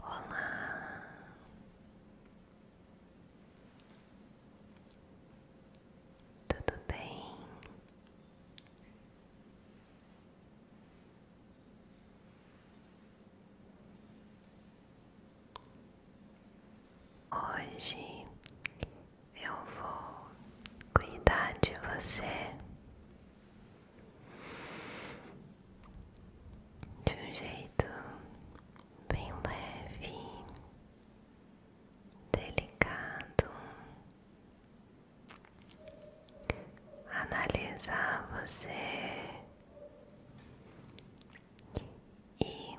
Olá, tudo bem? Hoje eu vou cuidar de você de um jeito bem leve, delicado, analisar você e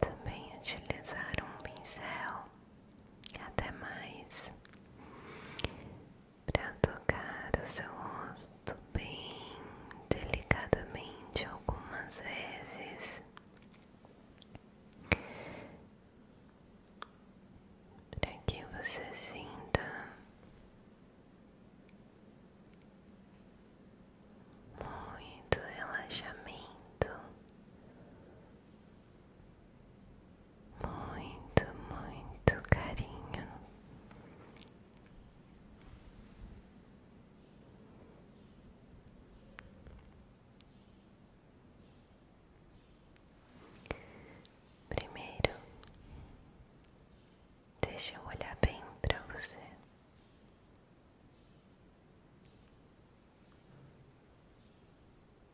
também utilizar um pincel até mais para tocar o seu rosto bem delicadamente algumas vezes, para que você sinta muito relaxamento muito, muito carinho. Primeiro, deixa eu olhar bem para você.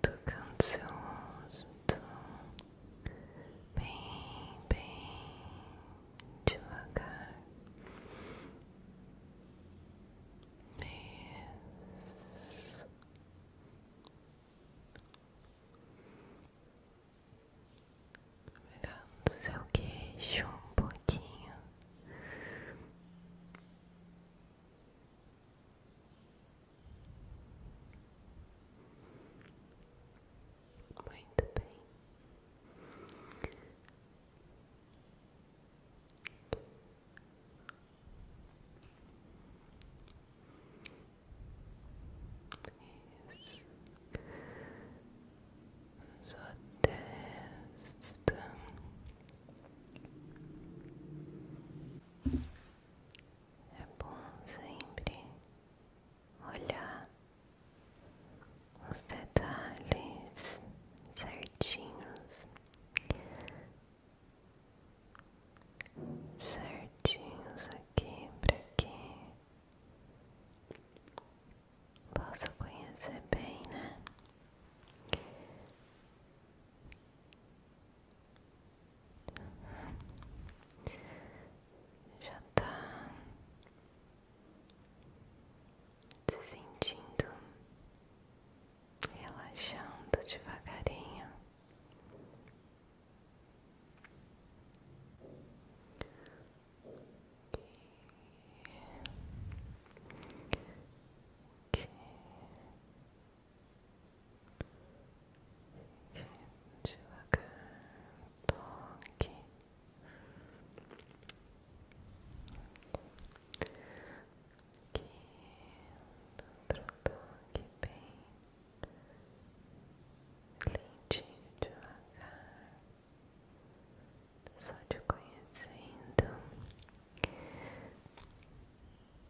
tocando seu rosto bem, bem devagar. Isso. Pegando seu queixo um pouquinho. Muito bem. Isso. testa. É bom sempre olhar os detalhes certinhos, certinhos aqui para que possa conhecer bem, né? já tá se sentindo relaxando devagarinho. Devagar, toque. Aqui, outro toque bem lentinho, devagar. Só te conhecendo.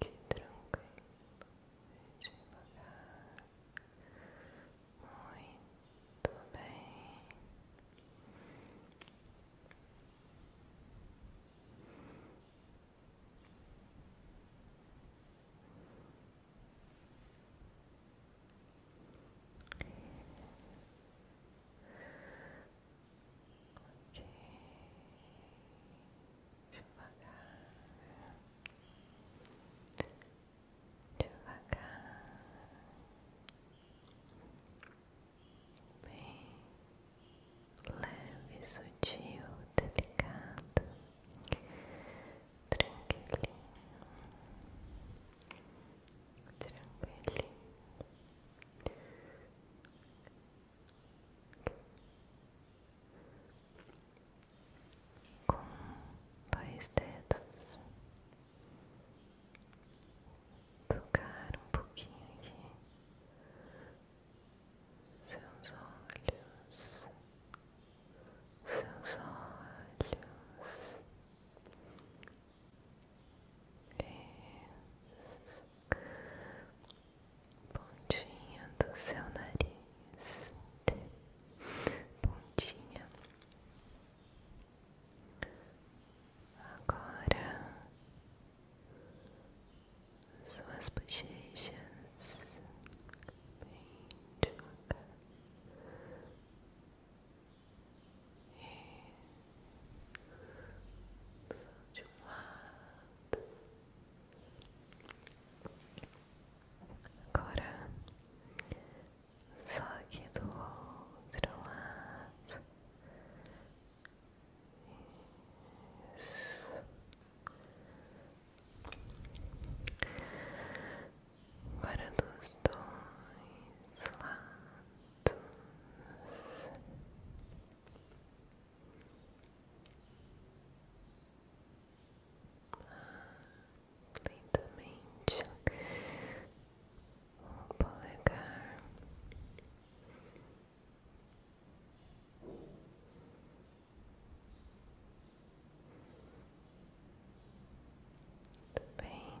Que tranquilo, devagar, muito bem devagar, devagar, bem leve, sutil, delicado, tranquilinho, tranquilinho com dois dedos, tocar um pouquinho aqui seus olhos, seus olhos pontinha do seu nariz, pontinha. Agora suas bochechas bem devagar. Só de um lado. Agora só aqui do outro lado. Agora dos dois lados lentamente o polegar Muito bem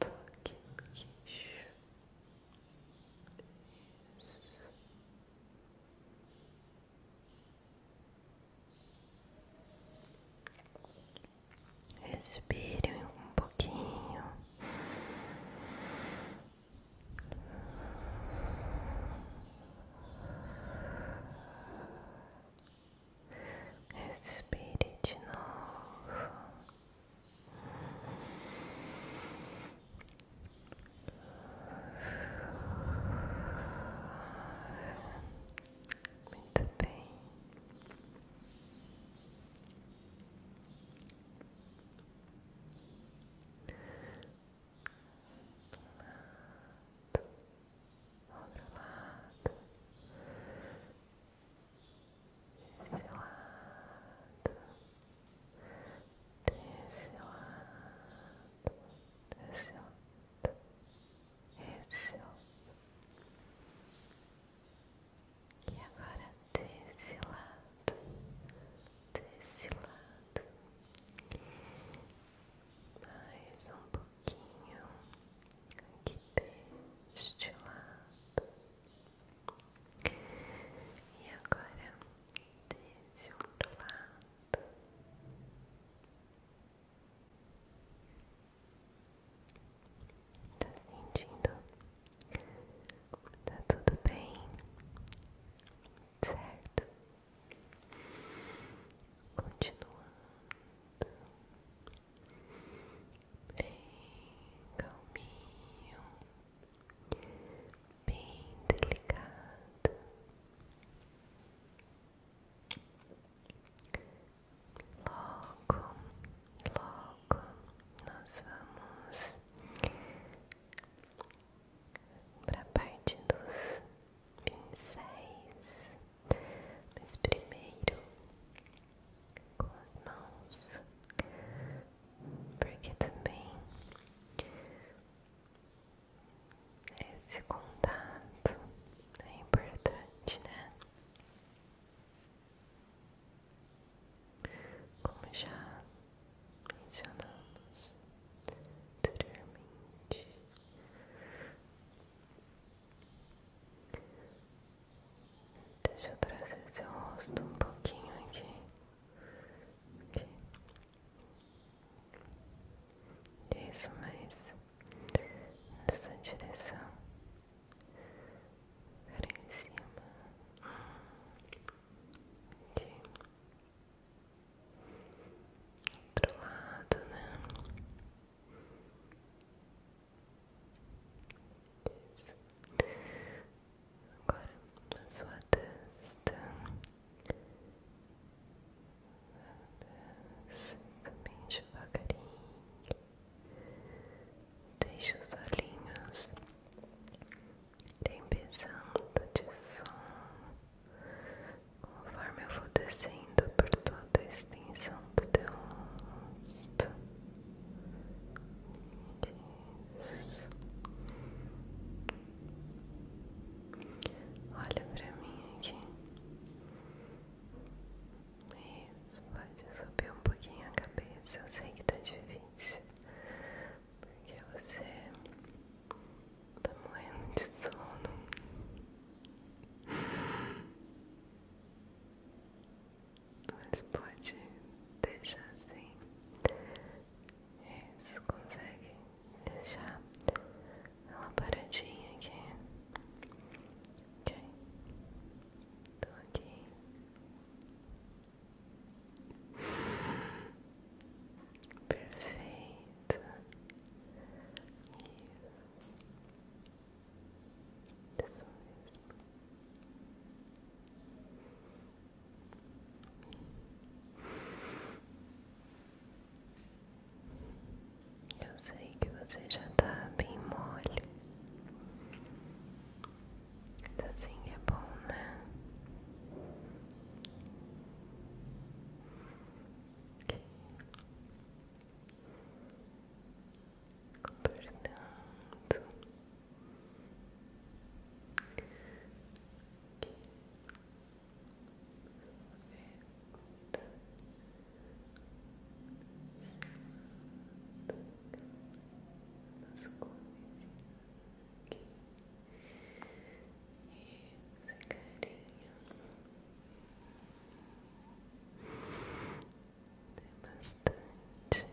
Toque no Respire um pouquinho. Respire de Muito bem lado, outro lado, desse lado, desse lado, desse lado, esse e agora desse lado, desse lado, mais um pouco pouquinho aqui deste lado e agora desse outro lado. Tá sentindo? Tá tudo bem? Certo? Continuando bem calminho, bem delicado. Logo, logo nós vamos para a parte dos vinte e seis mas primeiro com as mãos, porque também esse contato é importante, né? Como já mencionamos anteriormente. Deixa eu trazer seu rosto um pouquinho aqui. aqui. Isso, mais nessa direção. Era em cima. Hum. Aqui. Outro lado, né? Agora na sua testa. Também devagarinho. Deixa os olhinhos. Tem pesando de som conforme eu vou descendo por toda a extensão do teu rosto. Isso. Olha pra mim aqui. Isso, pode subir um pouquinho a cabeça. Eu sei que tá difícil, porque você Tá morrendo de sono. Mas pode deixar assim. Isso, consegue deixar ela paradinha aqui. Ok. Tô aqui. Perfeito. Isso Eu sei que você já tá bem mole. Mas assim é bom, né? contornando Aqui. Esse carinho. Aqui. Tem bastante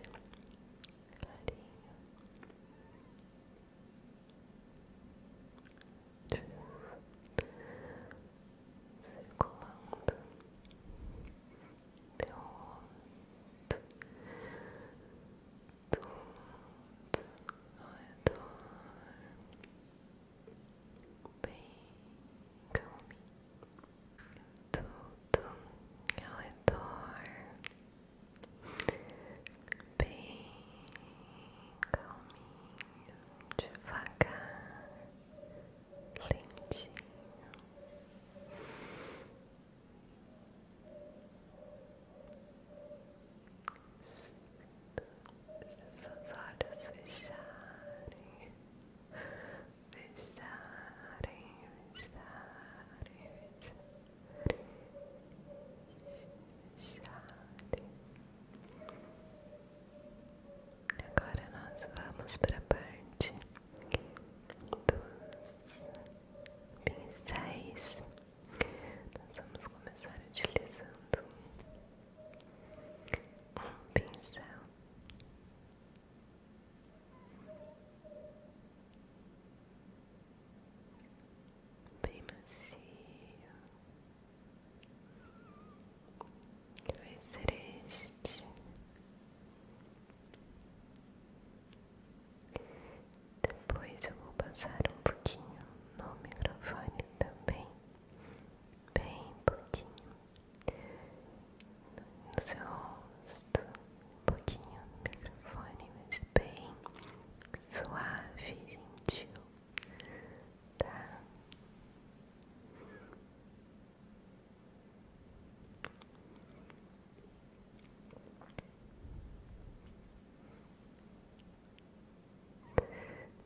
carinho. Circulando teu rosto, tudo ao bem calminho, tudo é o redor, bem calminho, devagar, lentinho. Deixa seus olhos fecharem, fecharem, fecharem, fecharem, fecharem. Agora nós vamos para a parte dos pincéis. Nós vamos começar utilizando um pincel. Bem macio que vai ser este depois eu vou passar um pouquinho no microfone também bem pouquinho no seu rosto, pouquinho no microfone, mas bem suave, gentil, tá?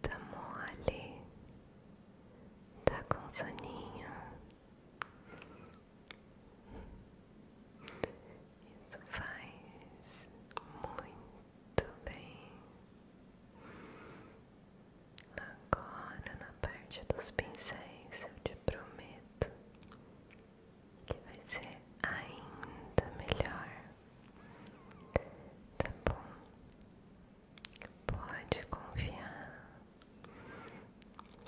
Tá mole, Tá com soninho. Isso faz muito bem. Agora na parte dos pincéis eu te prometo que vai ser ainda melhor. Tá bom? Pode confiar,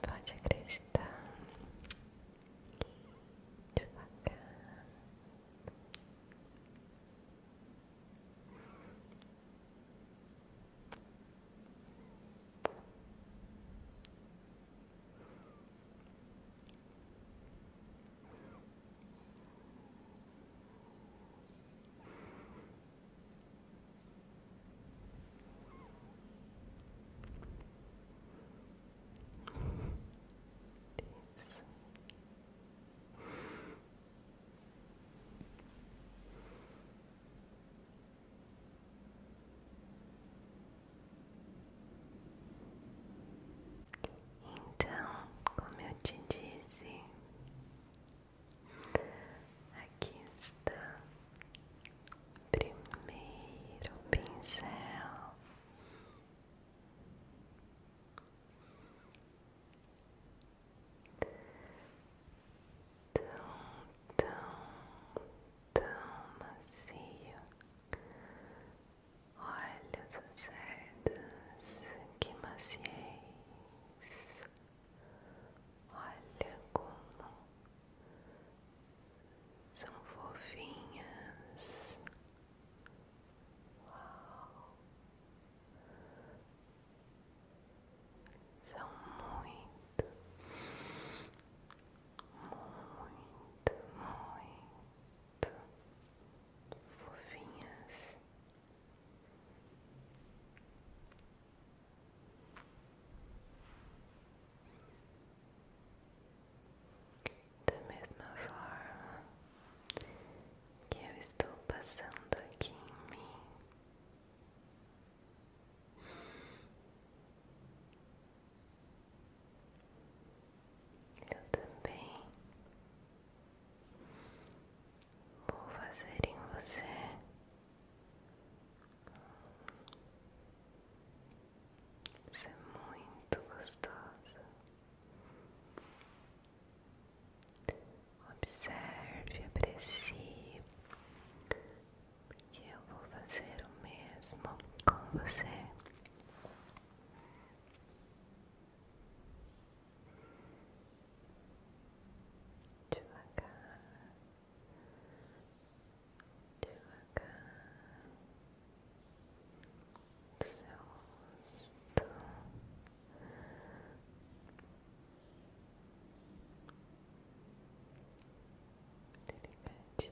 pode acreditar. Devagar. Então, como eu te disse, Aqui está o primeiro pincel. Tão, tão, tão macio. Olha as cerdas que maciez. Olha como são fofinhas. São muito, muito, muito fofinhas. Da mesma forma que eu estou passando aqui em mim. Eu também vou fazer em você isso é muito gostoso. Observe, aprecie, porque eu vou fazer o mesmo com você devagar, devagar, seu rosto. Delicadinho. Seu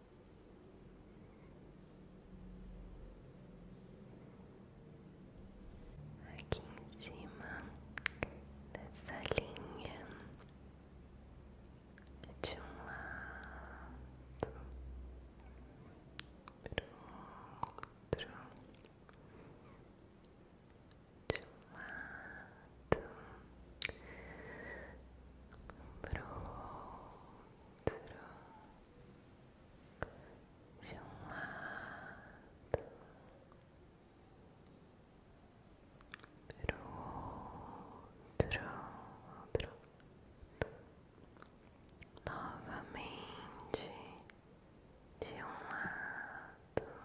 aqui em cima dessa linha de um lado pro outro, de um lado pro outro de um lado para outro, outro novamente de um lado para outro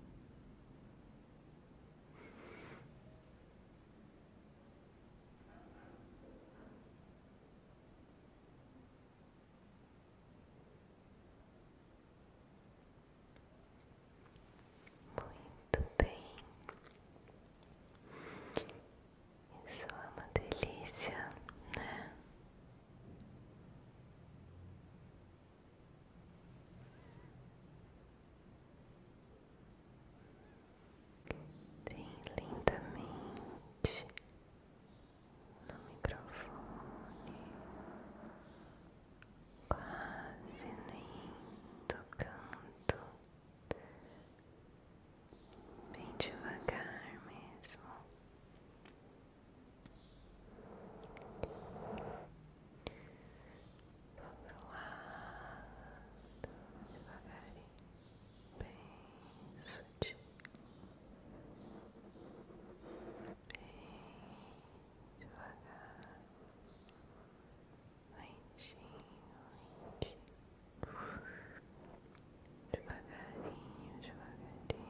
Muito bem, isso é uma delícia, né? Bem lindamente no microfone, quase nem tocando, bem devagar mesmo. Vou pro devagarinho, bem sutil, bem devagar, lentinho, lentinho, Devagarinho, devagarinho,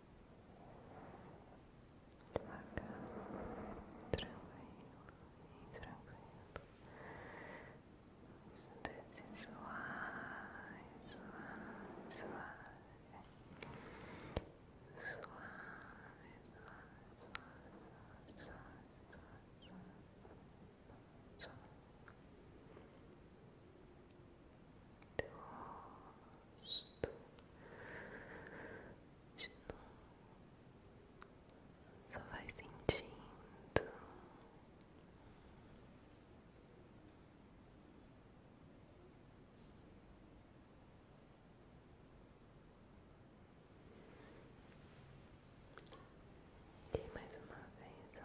devagar, tranquilo e tranquilo, desce suave, Suave, suave, suave, suave, suave, suave, suave, suave, suave teu rosto de novo, só vai sentindo. E mais uma vez,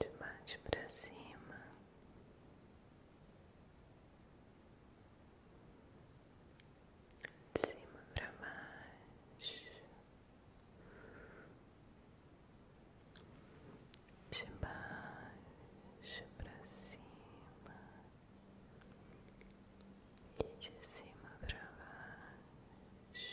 de baixo para cima, de cima para baixo, de baixo para cima e de cima para baixo.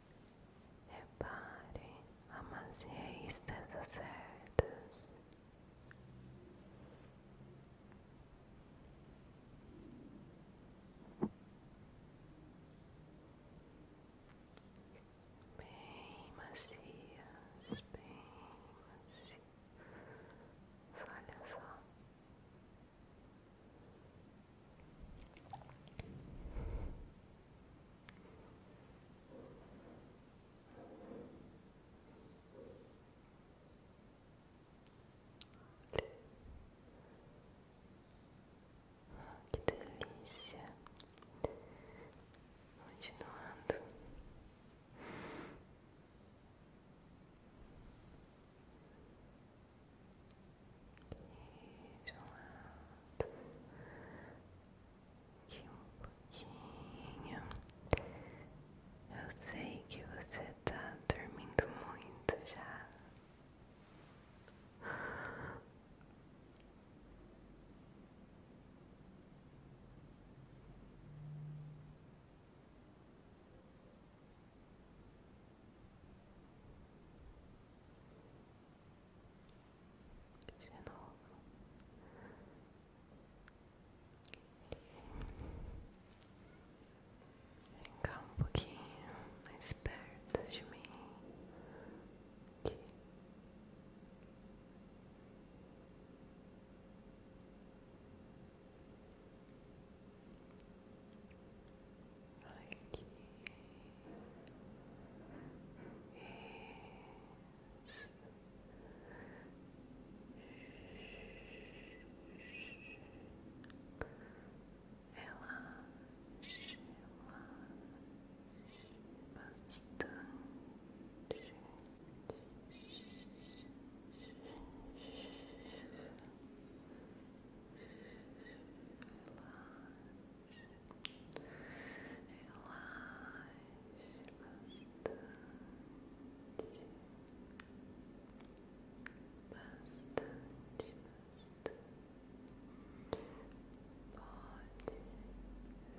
Repare a maciez dessas cerdas. Bem macias, bem macias. Olha só. Que delícia, continuando. E aqui um pouquinho. Eu sei que você tá dormindo muito já de novo. Vem cá um pouquinho mais perto de mim. Aqui. Aqui. Relaxe, relaxe bastante. Relaxe relaxa bastante, bastante, bastante, pode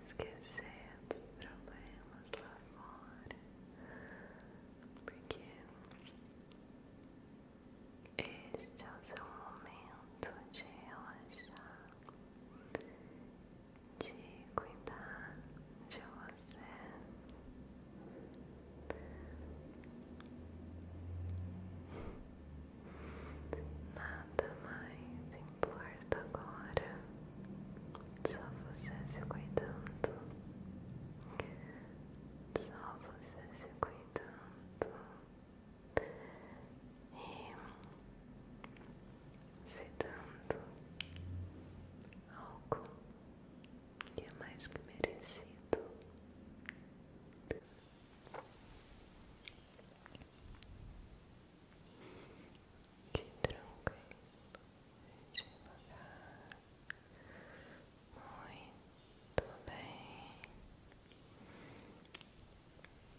esquecer dos problemas lá fora, porque este é o seu momento de relaxar de cuidar de você. Nada mais importa agora, só você se cuidando, só você se cuidando e se dando algo que é mais que merecido. Que tranquilo, devagar, muito bem,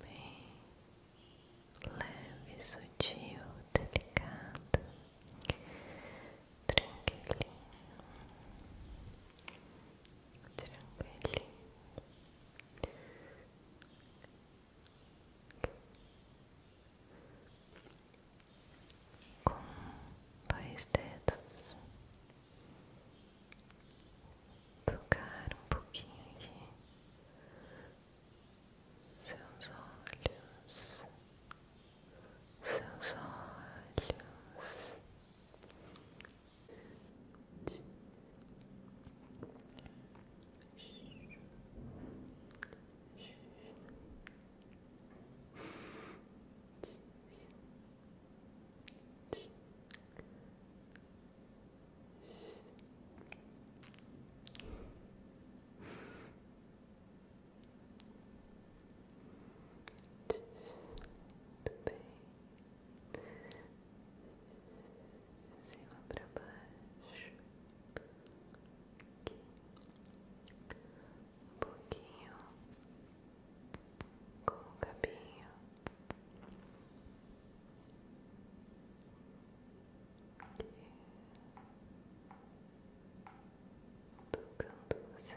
bem leve, sutil, delicado tranquilinho, tranquilinho. Com dois dedos tocar um pouquinho aqui seus olhos, seus olhos. Muito bem, de cima para baixo, aqui, um pouquinho com o cabinho tocando você. Embaixo,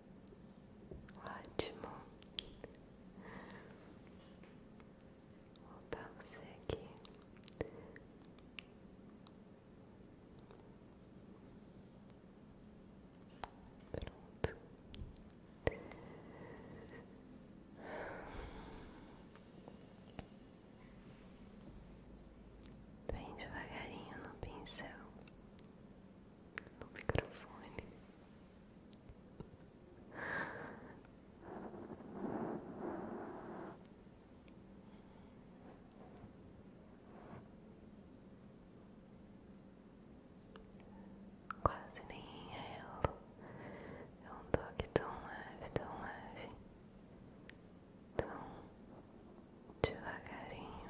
Ótimo. voltamos aqui. Bem devagarinho no pincel, no microfone. Quase nem é ela é um toque tão leve, tão leve, tão devagarinho.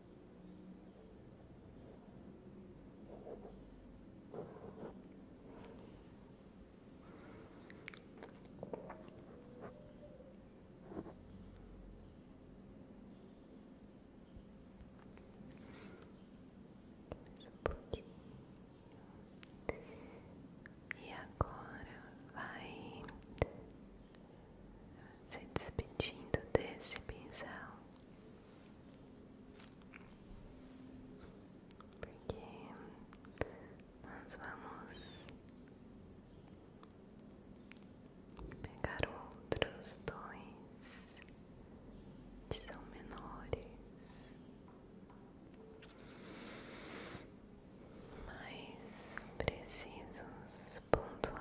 E agora vai se despedindo desse pincel, porque nós vamos pegar outros dois que são menores, mas precisos pontuais.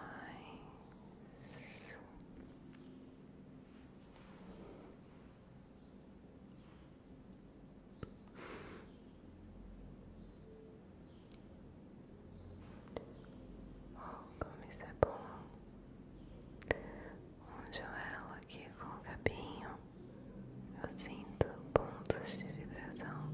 Oh, como isso é bom! Um joelho aqui com o cabinho, eu sinto pontos de vibração.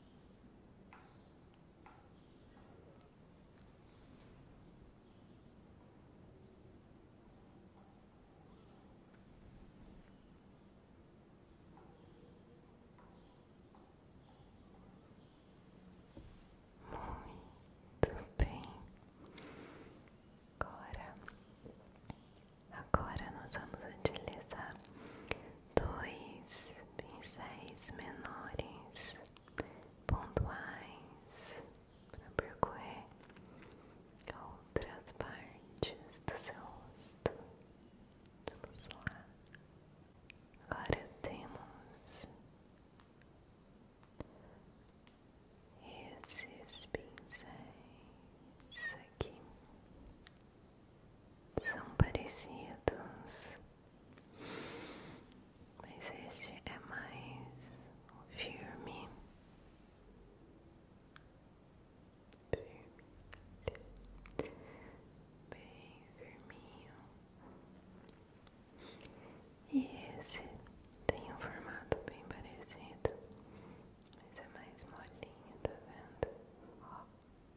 Muito bem. Agora, agora nós vamos utilizar dois pincéis menores pontuais para percorrer outras partes do seu rosto. Vamos lá. Agora temos esses pincéis aqui são parecidos, mas este é mais firme. firme. Bem firminho. E esse tem um formato bem parecido, mas é mais molinho, tá vendo?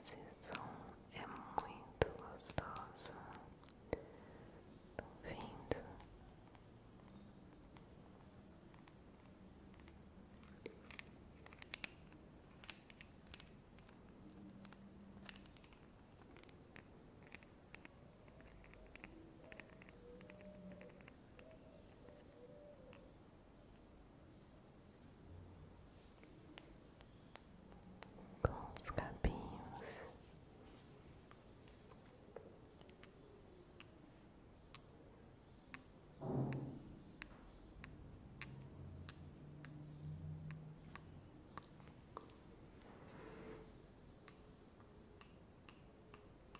Esse som é muito gostoso. Tão vindo com os cabinhos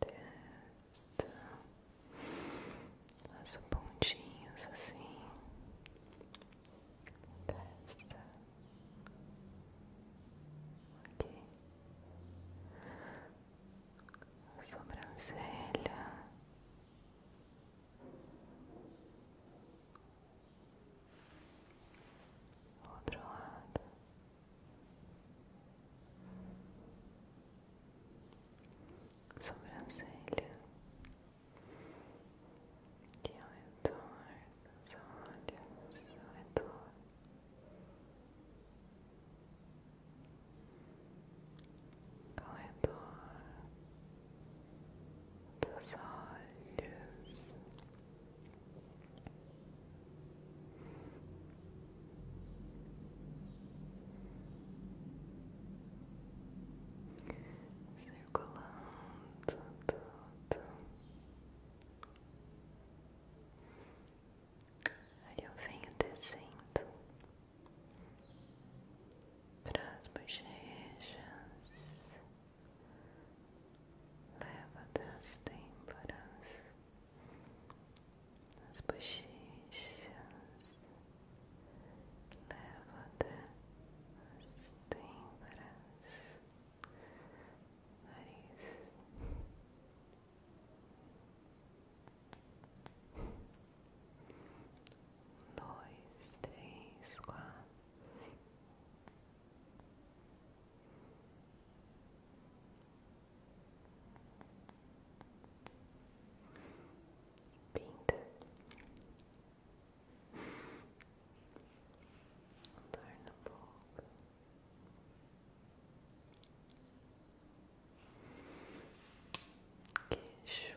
testa, faço pontinhos assim, testa, ok, sobrancelha. Outro lado, sobrancelha que ao redor dos olhos, ao redor dos olhos, circulando tudo aí eu venho descendo pras as bochechas leva das têmporas as bochechas, leva até as têmporas, nariz. dois, três, quatro. Pinta, torna um pouco. Queixo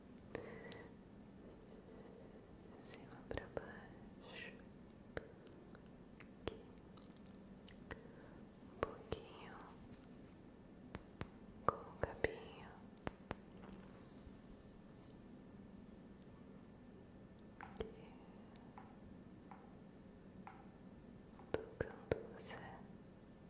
cima para baixo, aqui um pouquinho com o cabinho. Aqui. Tocando você,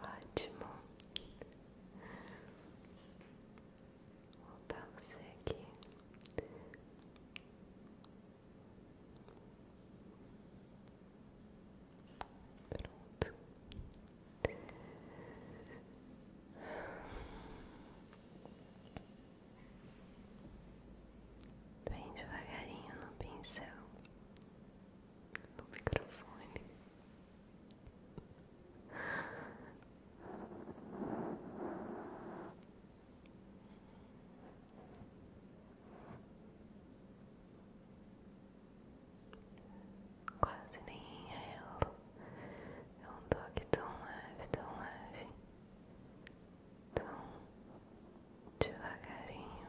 Ótimo, vou botar você aqui Pronto. Bem devagarinho no pincel, no microfone. Quase nem inhalo. É, é um toque tão leve, tão leve, tão devagarinho.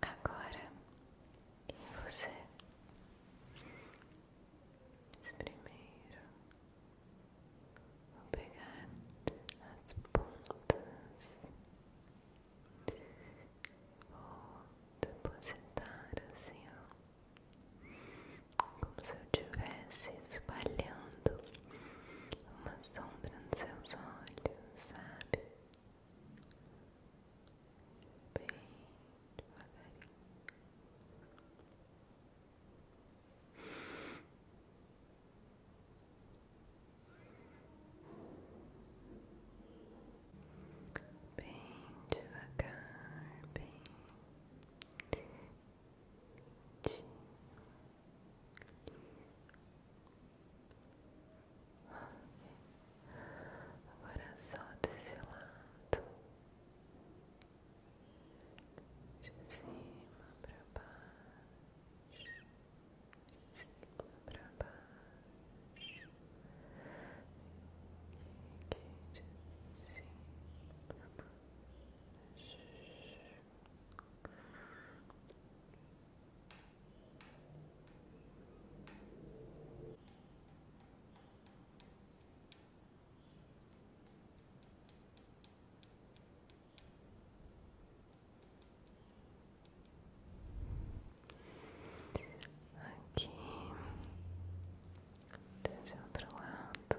Agora em você, primeiro vou pegar as pontas, vou depositar assim, como se eu estivesse espalhando uma sombra nos seus olhos, sabe? Bem devagarinho. Bem devagar, bem Agora é só desse lado, de cima para baixo, de cima para baixo, aqui de cima para baixo. Aqui desse outro lado.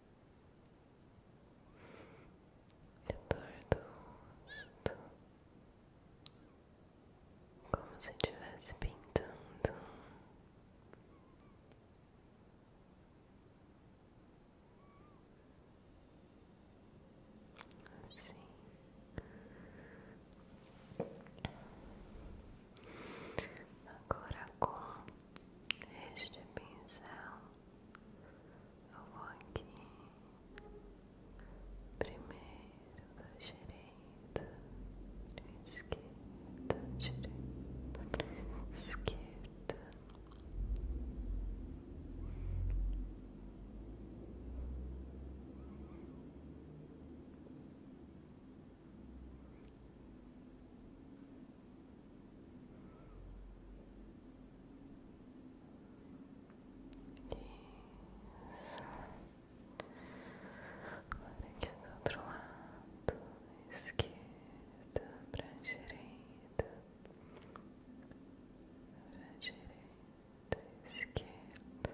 de dor do como se estivesse pintando. Assim agora com este pincel eu vou aqui primeiro da direita, esquerda, direita, esquerda. Isso. Agora aqui do outro lado, esquerda para direita, esquerda, para esquerda, para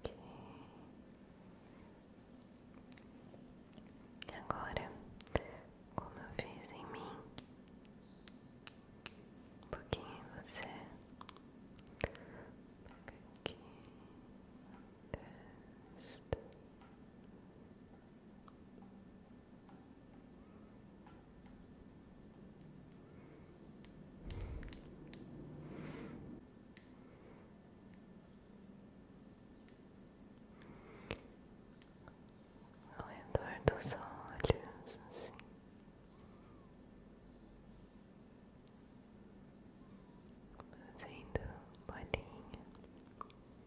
Okay. Agora, como eu fiz em mim, um pouquinho em você, pega aqui, testa. Ao redor dos olhos, assim. Fazendo bolinha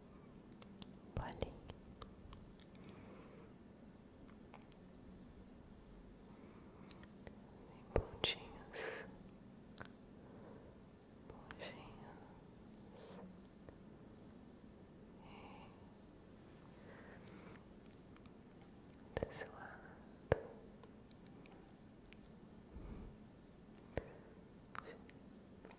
bolinha. Em pontinhos, pontinhos e desse lado Outro.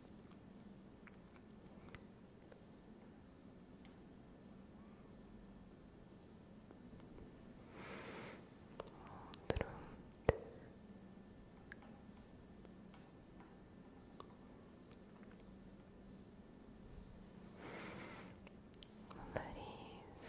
O nariz.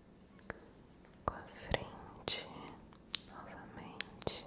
com a frente novamente.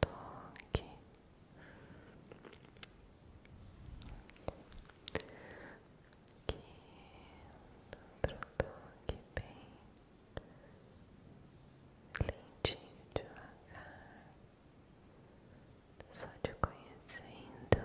toque. que outro toque bem lentinho, devagar. Só te conhecendo.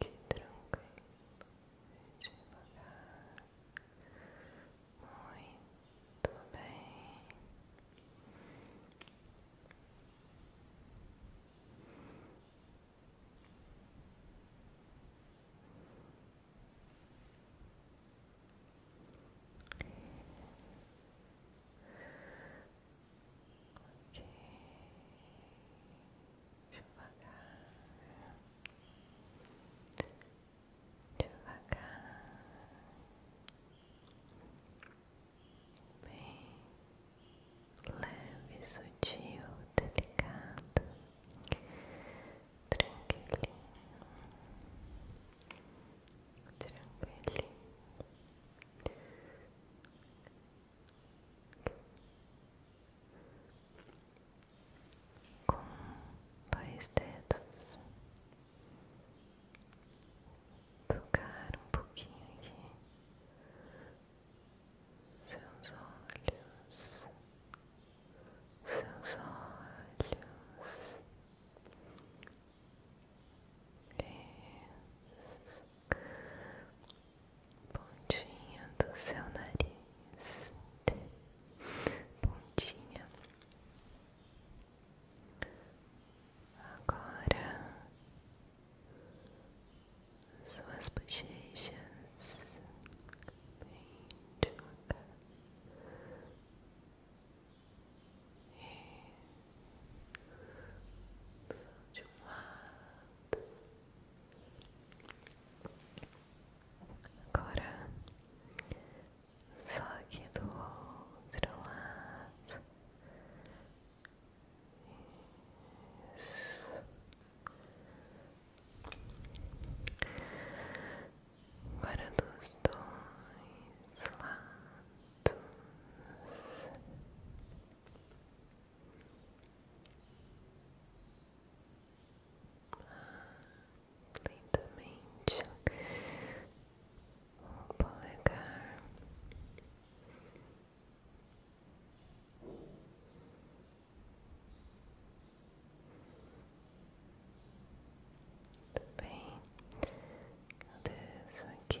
que tranquilo, devagar, muito bem devagar, devagar, bem leve, sutil, delicado, tranquilinho, tranquilinho com dois dedos, tocar um pouquinho aqui seus olhos, seus olhos pontinha do seu nariz, pontinha. Agora suas bochechas, bem de um lado Agora só aqui do outro lado. Agora dos dois lados lentamente o polegar muito bem, cadê isso aqui?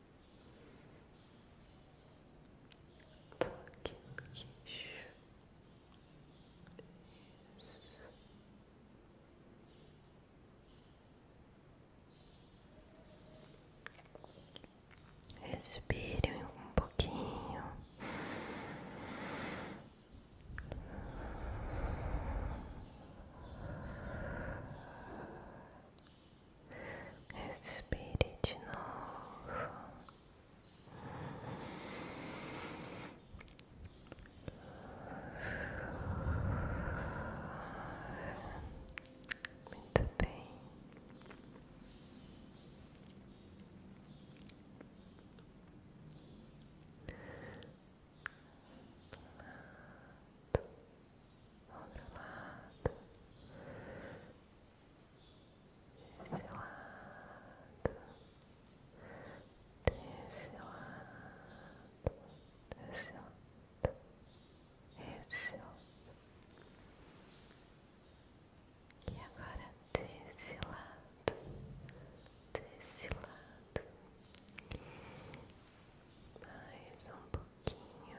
toque Respire um pouquinho. Respire de Muito bem outro lado, esse lado, desse lado, desse lado, esse lado e agora desse lado, desse lado. Mais um pouquinho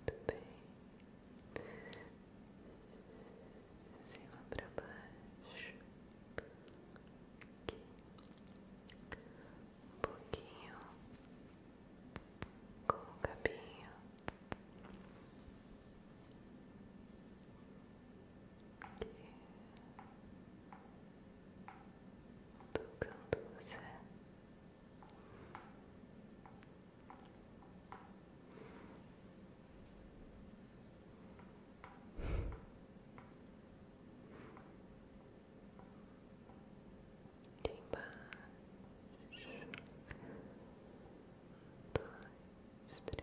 Muito bem. De cima para baixo. Aqui. Um pouquinho. Com o cabinho tocando você. Embaixo, dois, três,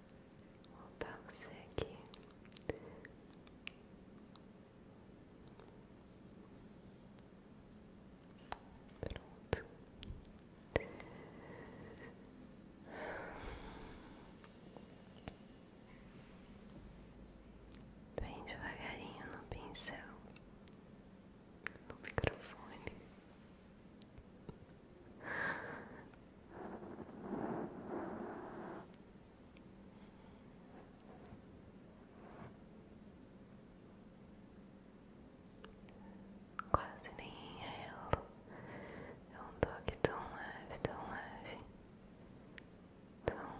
voltar você aqui. Pronto. Bem devagarinho no pincel, no microfone. Quase nem inhalo. É Eu é ando aqui tão leve, tão leve, tão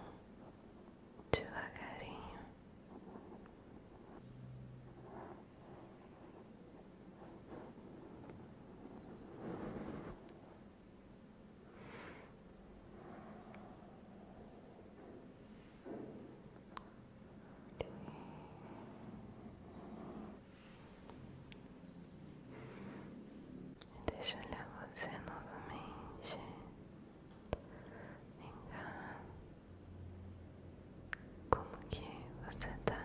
devagarinho. Deixa eu olhar você novamente. Vem cá. Como que você está,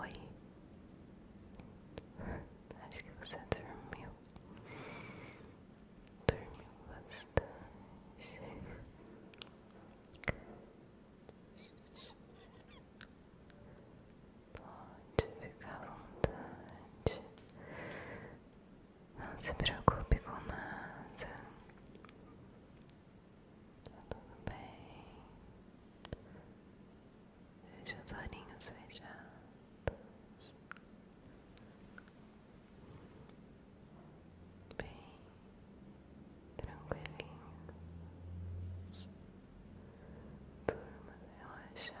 Oi. Acho que você dormiu. Dormiu bastante. Pode ficar à vontade. Não se preocupe com nada. Tá tudo bem. Deixa os olhinhos fechados. Bem tranquilinhos. Turma relaxada.